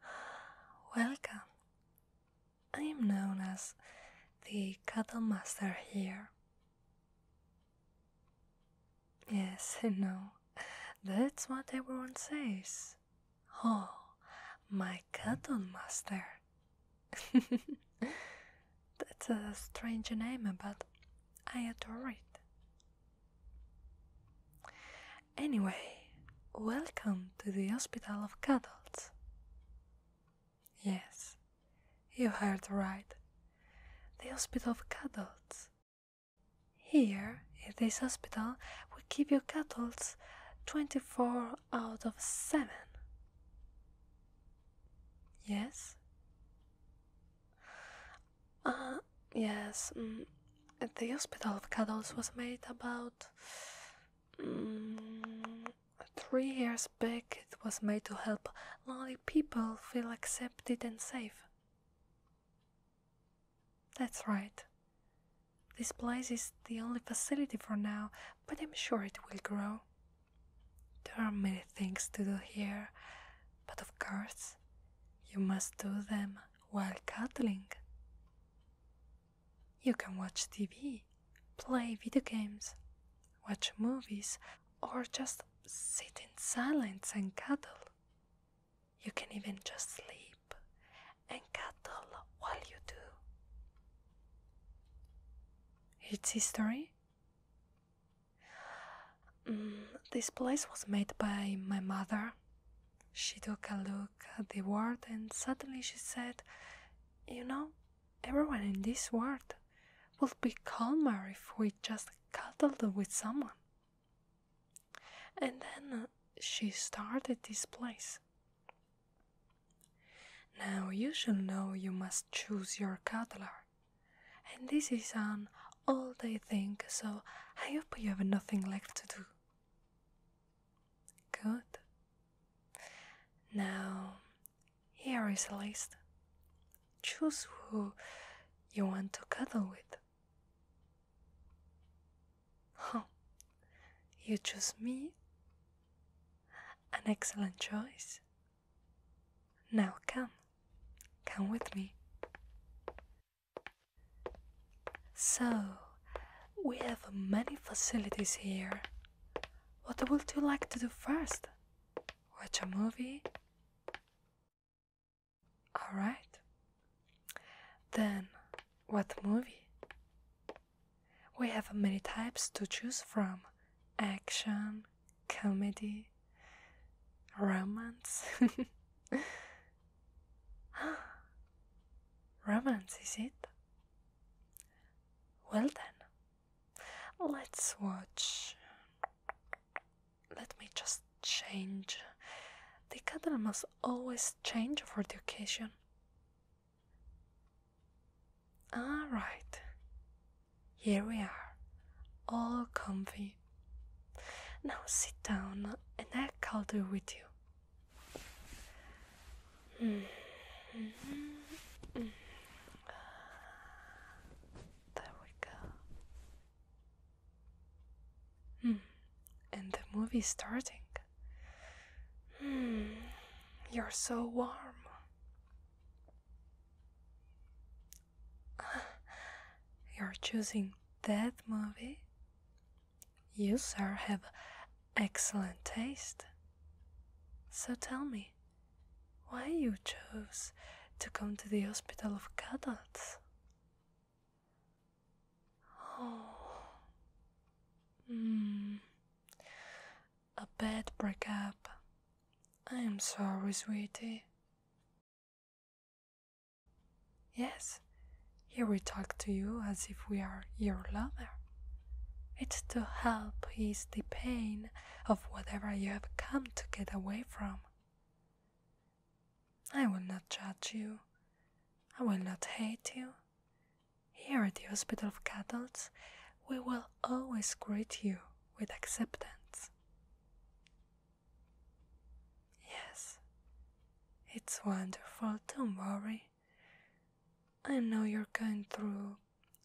Welcome. I am known as the cattle master here. Yes, I know. That's what everyone says. Oh, my cattle master. That's a strange name, but I adore it. Anyway, welcome to the Hospital of Cuddles. Yes, you heard right. The Hospital of Cuddles. Here, in this hospital, we keep your cuddles 24 out of 7. Yes? Uh, yes. Mm, the Hospital of Cuddles was made about. Mm, three years back, it was made to help lonely people feel accepted and safe. That's right. This place is the only facility for now, but I'm sure it will grow. There are many things to do here, but of course, you must do them while cuddling. You can watch TV, play video games, watch movies, or just sit in silence and cuddle. You can even just sleep and cuddle while you do. Its history Mm, this place was made by my mother. She took a look at the world and suddenly she said, You know, everyone in this world will be calmer if we just cuddled with someone. And then uh, she started this place. Now you should know you must choose your cuddler. And this is an um, all day thing, so I hope you have nothing left to do. Good. Now, here is a list. Choose who you want to cuddle with. Huh. You choose me? An excellent choice, now come, come with me. So, we have many facilities here. What would you like to do first? Watch a movie? Alright. Then, what movie? We have many types to choose from action, comedy, romance. romance, is it? Well then, let's watch. Let me just change. The cadre must always change for the occasion. Alright, here we are, all comfy. Now sit down and I'll cuddle with you. There we go. And the movie's starting. Hmm. You're so warm. You're choosing that movie? You, sir, have excellent taste. So tell me, why you chose to come to the hospital of cadets? Oh. Mm. A bad breakup. I'm sorry, sweetie. Yes, here we talk to you as if we are your lover. It's to help ease the pain of whatever you have come to get away from. I will not judge you. I will not hate you. Here at the Hospital of Cattles, we will always greet you with acceptance. Yes, it's wonderful, don't worry. I know you're going through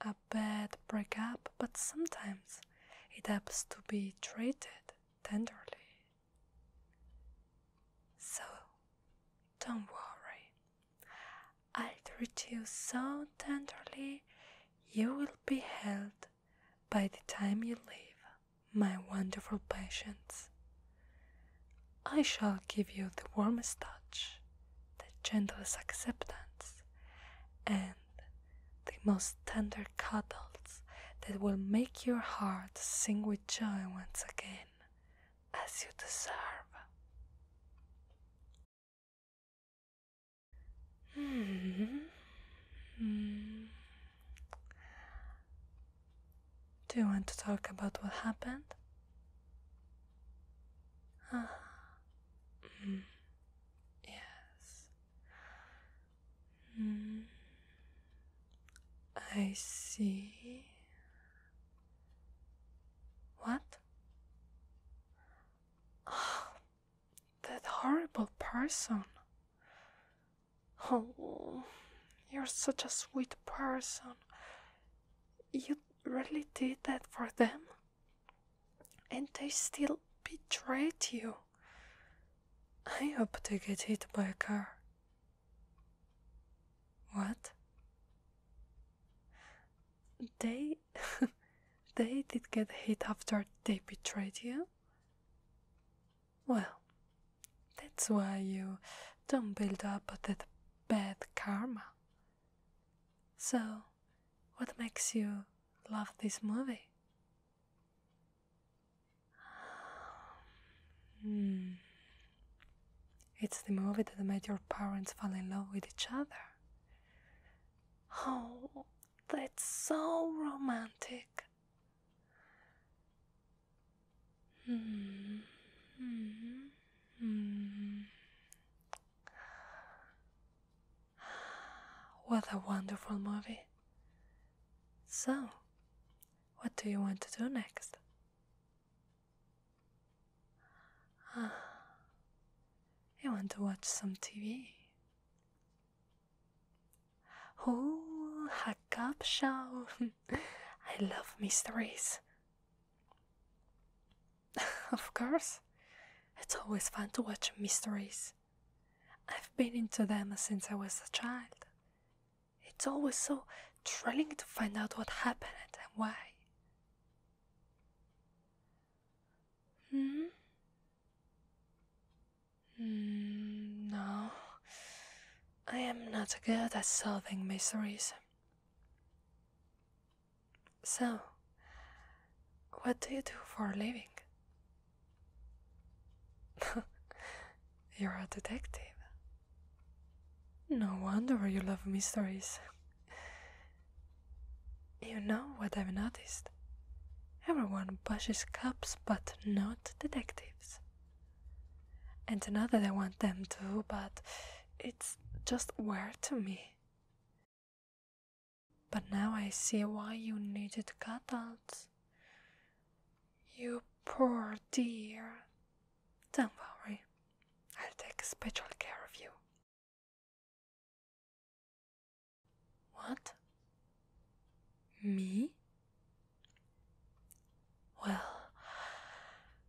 a bad breakup, but sometimes it has to be treated tenderly. So, don't worry. I will treat you so tenderly, you will be held by the time you leave, my wonderful patients, I shall give you the warmest touch, the gentlest acceptance, and the most tender cuddles that will make your heart sing with joy once again, as you deserve. Hmm. Do you want to talk about what happened? Uh-huh. Hmm. Yes. Hmm. I see. What? Oh. That horrible person. Oh, you're such a sweet person. You really did that for them? And they still betrayed you. I hope they get hit by a car. What? They they did get hit after they betrayed you? Well, that's why you don't build up that bad karma. So, what makes you love this movie? Hmm. It's the movie that made your parents fall in love with each other. Oh, that's so romantic. Hmm. What a wonderful movie. So, what do you want to do next? Ah. I want to watch some TV. Oh, a cop show. I love mysteries. of course, it's always fun to watch mysteries. I've been into them since I was a child. It's always so thrilling to find out what happened and why. Hmm? hmm? no. I am not good at solving mysteries. So, what do you do for a living? You're a detective. No wonder you love mysteries. You know what I've noticed? Everyone pushes cops but not detectives. And not that I want them to, but it's just weird to me. But now I see why you needed cutouts. You poor dear. Don't worry, I'll take special care of you what? Me? Well,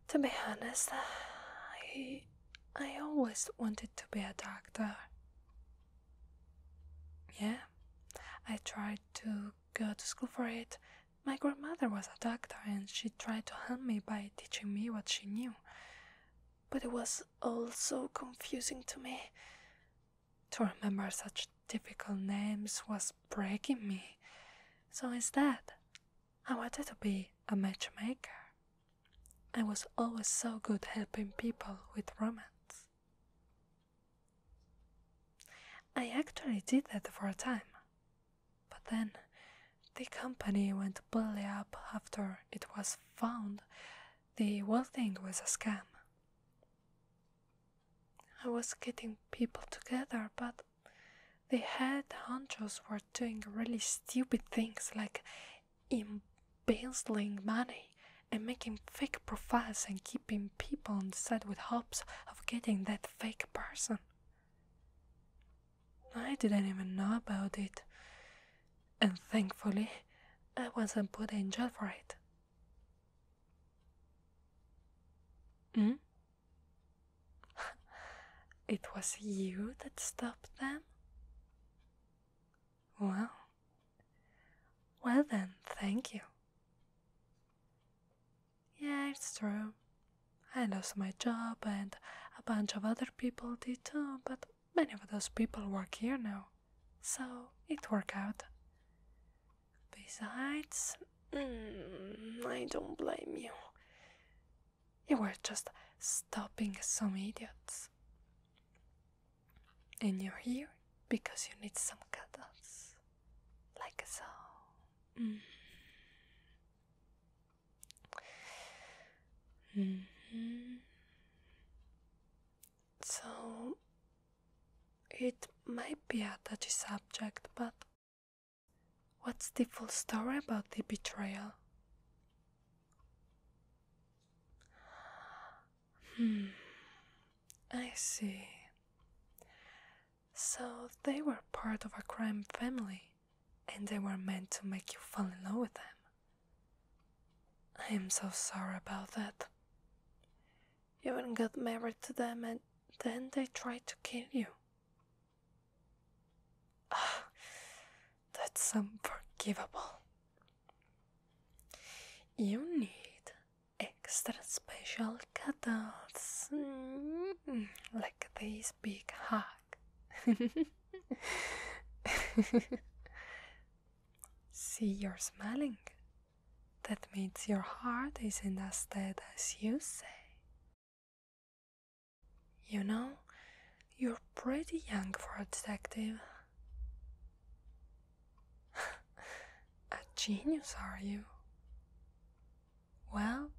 to be honest, I I always wanted to be a doctor. Yeah. I tried to go to school for it. My grandmother was a doctor and she tried to help me by teaching me what she knew but it was all so confusing to me. To remember such difficult names was breaking me. So instead, I wanted to be a matchmaker. I was always so good helping people with romance. I actually did that for a time, but then the company went belly up after it was found the whole thing was a scam. I was getting people together, but the head hunters were doing really stupid things like embezzling money and making fake profiles and keeping people on the with hopes of getting that fake person. I didn't even know about it, and thankfully, I wasn't put in jail for it. Hmm? it was you that stopped them? Well, well then, thank you. Yeah, it's true. I lost my job and a bunch of other people did too, but Many of those people work here now, so it worked out. Besides, mm, I don't blame you. You were just stopping some idiots. And you're here because you need some cuddles. Like so. Mm. -hmm. So it might be a touchy subject, but what's the full story about the betrayal? Hmm, I see. So they were part of a crime family and they were meant to make you fall in love with them. I am so sorry about that. You even got married to them and then they tried to kill you. Ah, that's unforgivable. You need extra special cuddles mm, like these big hug. See, you're smiling. That means your heart isn't as dead as you say. You know, you're pretty young for a detective. a genius, are you? Well,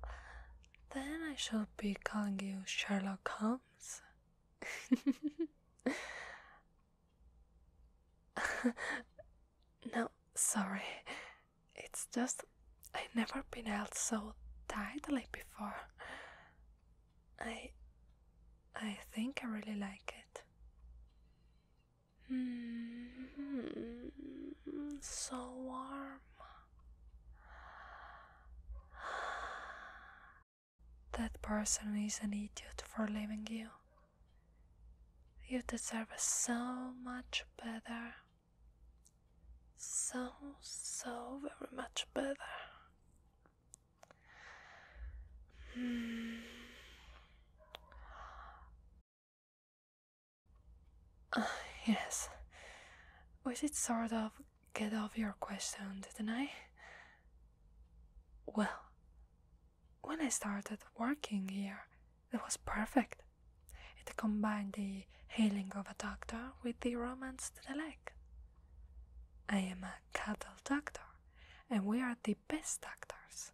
then I shall be calling you Sherlock Holmes no, sorry. It's just I've never been held so tightly before. I I think I really like it. so warm. That person is an idiot for leaving you. You deserve so much better. So, so very much better. Hmm. Ah, yes. Was it sort of get off your question, didn't I? Well, when I started working here, it was perfect. It combined the healing of a doctor with the romance to the leg. I am a cattle doctor, and we are the best doctors,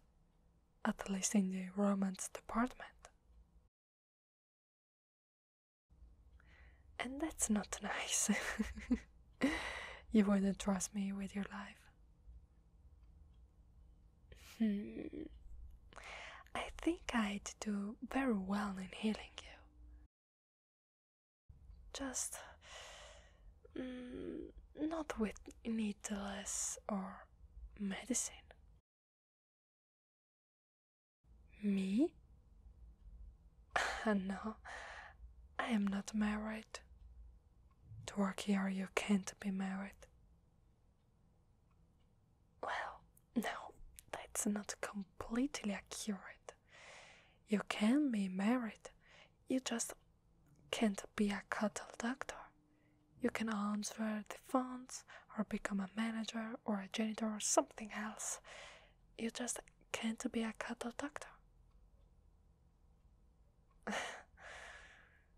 at least in the romance department. And that's not nice. you wouldn't trust me with your life. Hmm. I think I'd do very well in healing you. Just mm, not with needles or medicine. Me? no, I am not married. To Work here, you can't be married. Well, no, that's not completely accurate. You can be married, you just can't be a cattle doctor. You can answer the phones or become a manager or a janitor or something else. You just can't be a cattle doctor.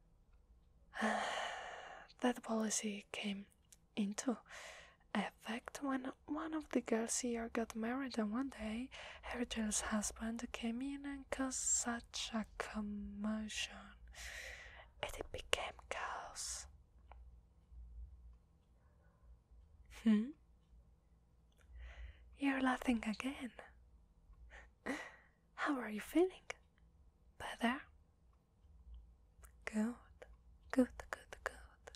that policy came into effect when one of the girls here got married, and one day her husband came in and caused such a commotion. that It became chaos. Hmm? You're laughing again. How are you feeling? Better? Good, good, good, good.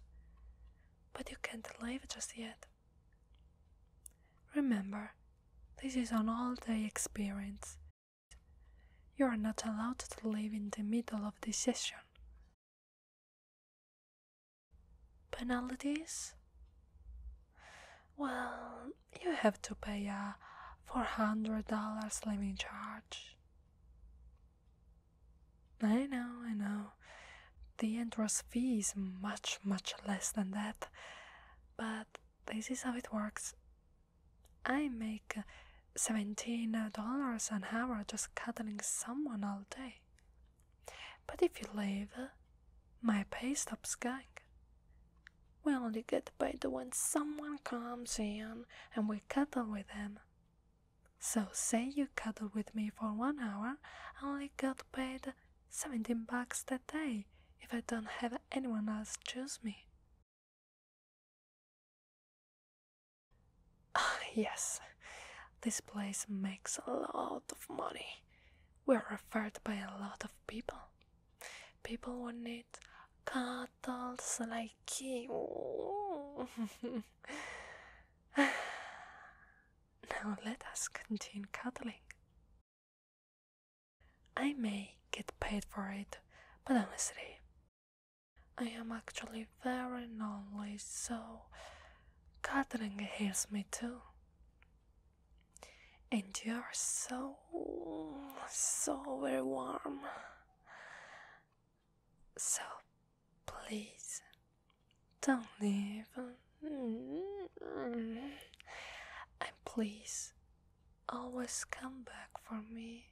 But you can't leave just yet. Remember, this is an all day experience. You are not allowed to leave in the middle of the session Penalties? Well, you have to pay a $400 limit charge. I know, I know. The entrance fee is much, much less than that. But this is how it works. I make $17 an hour just cuddling someone all day. But if you leave, uh, my pay stops going. We only get paid when someone comes in and we cuddle with them. So say you cuddle with me for one hour, I only get paid 17 bucks that day if I don't have anyone else choose me. yes, this place makes a lot of money. We're referred by a lot of people. People who need cattle like you. now let us continue cuddling. I may get paid for it, but honestly, I am actually very lonely, so Catherine heals me too. And you are so, so very warm. So please don't leave. And please always come back for me.